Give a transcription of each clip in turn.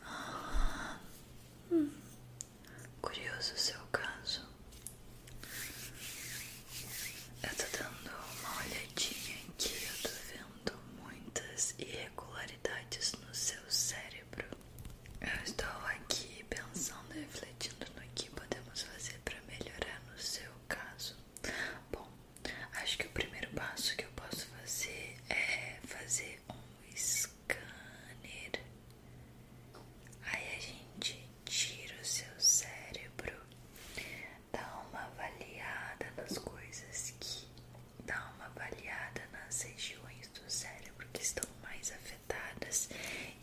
curioso o seu caso. Eu tô dando uma olhadinha aqui, eu tô vendo muitas irregularidades no seu cérebro. Eu estou aqui pensando refletindo no que podemos fazer para melhorar no seu caso. Bom, Acho que o primeiro passo que eu posso fazer é fazer um scanner. Aí a gente tira o seu cérebro, dá uma avaliada nas coisas que dá uma avaliada nas regiões do cérebro que estão mais afetadas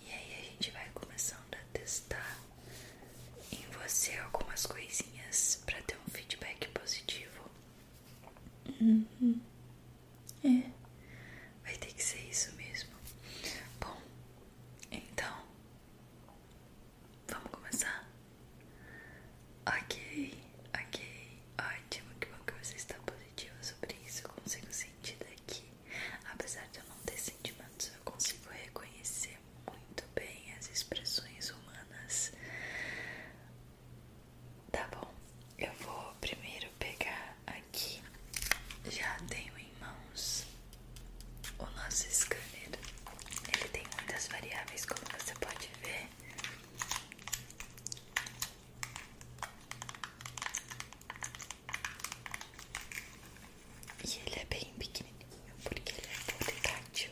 e aí a gente vai começando a testar em você algumas coisinhas para ter um feedback positivo Uhum. É, vai ter que ser isso mesmo. Bom, então vamos começar? Ok, ok, ótimo. Que bom que você está positiva sobre isso. Eu consigo sentir daqui. Apesar de eu não ter sentimentos, eu consigo reconhecer muito bem as expressões humanas. Tá bom, eu vou primeiro pegar aqui. Já tenho em mãos o nosso scanner. Ele tem muitas variáveis, como você pode ver. E ele é bem pequenininho porque ele é portátil.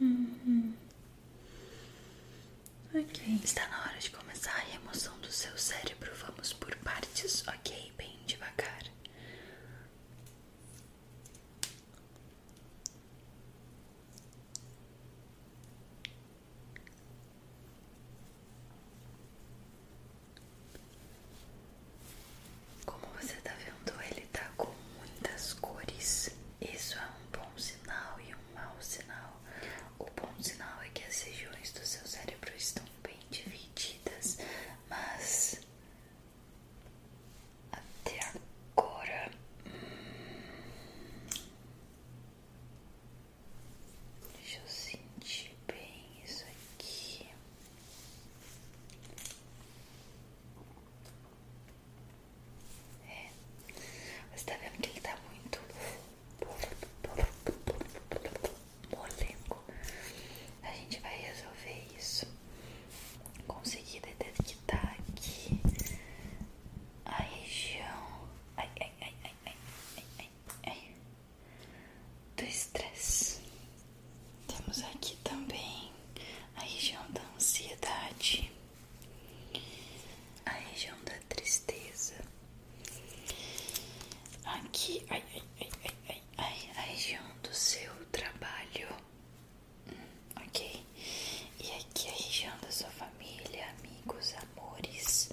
Uhum. Ok. Está na hora de começar a remoção do seu cérebro. Vamos por partes, ok? Bem devagar. Como você tá vendo, ele tá com muitas cores. Isso é um bom sinal e um mau sinal. O bom sinal é que as regiões do seu cérebro estão bem divididas, mas até agora. Hum, deixa eu sentir bem isso aqui. É. Você tá vendo que ele tá muito moleco. A gente vai resolver isso. Consegui detectar aqui a região ai, ai, ai, ai, ai, ai, ai. do estresse. Temos aqui também a região da ansiedade, a região da tristeza, aqui a região do seu trabalho, hum, ok? E aqui a região da sua família, amigos, amores.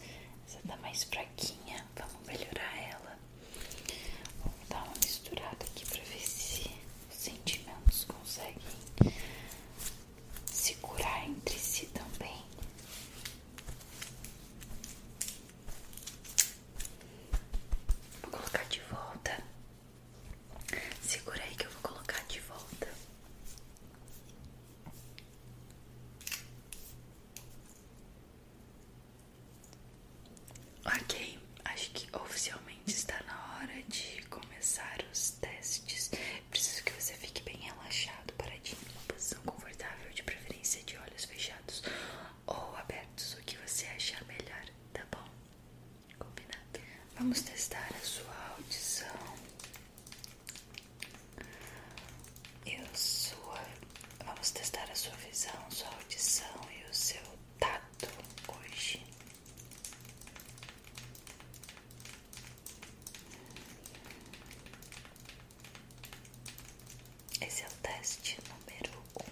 Essa tá mais fraquinha, vamos melhorar ela. Vou dar uma misturada aqui para ver se os sentimentos conseguem se curar entre si também. Vou colocar de volta. Segura aí que eu vou colocar de volta. Ok, acho que oficialmente está na hora de começar os testes. Preciso que você fique bem relaxado, paradinho, numa posição confortável, de preferência de olhos fechados ou abertos, o que você achar melhor, tá bom? Combinado? Vamos testar a sua audição e a Vamos testar a sua visão, sua audição e o seu tato hoje. Esse é o teste número um.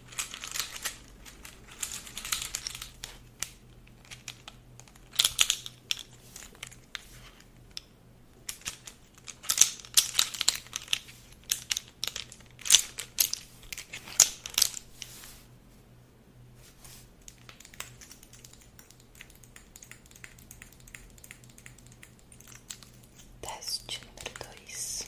Teste número dois.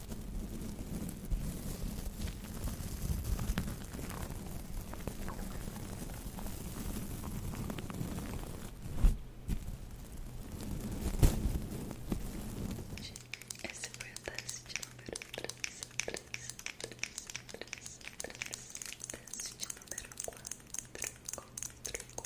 Esse foi o teste número 3, 3, 3, 3, 3, teste número 4, 4, 4, 4.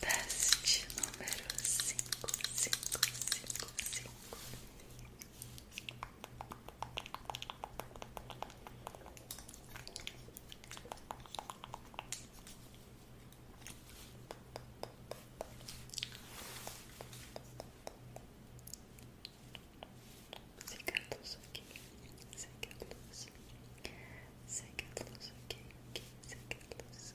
Teste número cinco. cinco, cinco, cinco, cinco. Secá-los aqui, secá-los, secá-los aqui, aqui,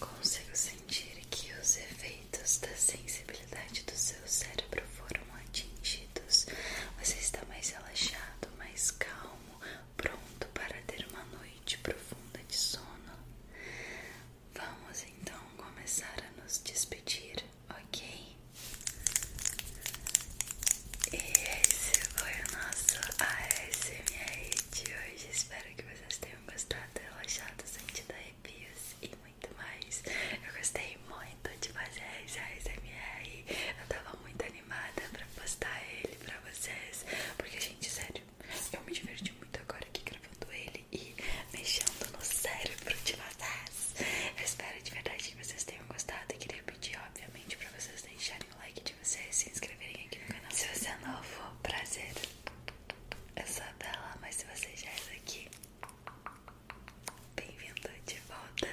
Consigo sentir que os efeitos da sensibilidade do seu cérebro foram atingidos. Você está mais relaxado, mais calmo, pronto para ter uma noite profunda de sono. Vamos então começar a nos despedir, ok? E esse foi o nosso ASMR de hoje. Espero que vocês tenham gostado, relaxado, sentido arrepios e muito mais. Eu gostei muito muito então, de fazer esse Eu tava muito animada pra postar ele pra vocês. Porque, gente, sério, eu me diverti muito agora aqui gravando ele e mexendo no cérebro de vocês. Eu espero de verdade que vocês tenham gostado. E queria pedir, obviamente, pra vocês deixarem o like de vocês se inscreverem aqui no canal. Se você é novo, prazer. Eu sou a Bela, mas se você já é daqui, Bem-vindo de volta.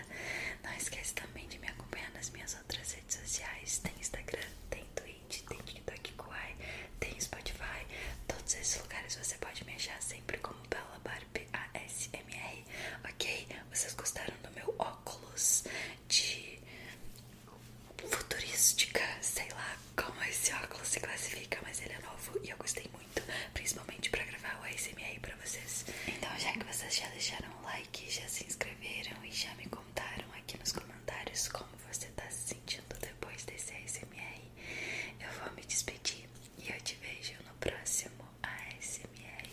Não esquece também de me acompanhar nas minhas outras redes sociais. Tem Instagram, tem Twitch, tem TikTok Kuai, tem Spotify. Todos esses lugares você pode me achar sempre como Bella Barbie ASMR. Ok? Vocês gostaram do meu óculos de futurística? Sei lá como esse óculos se classifica, mas ele é novo e eu gostei muito, principalmente para gravar o ASMR pra vocês. Então, já que vocês já deixaram o like, já se inscreveram e já me contaram aqui nos comentários como você tá se sentindo depois desse ASMR, eu vou me despedir e eu te vejo no próximo ASMR.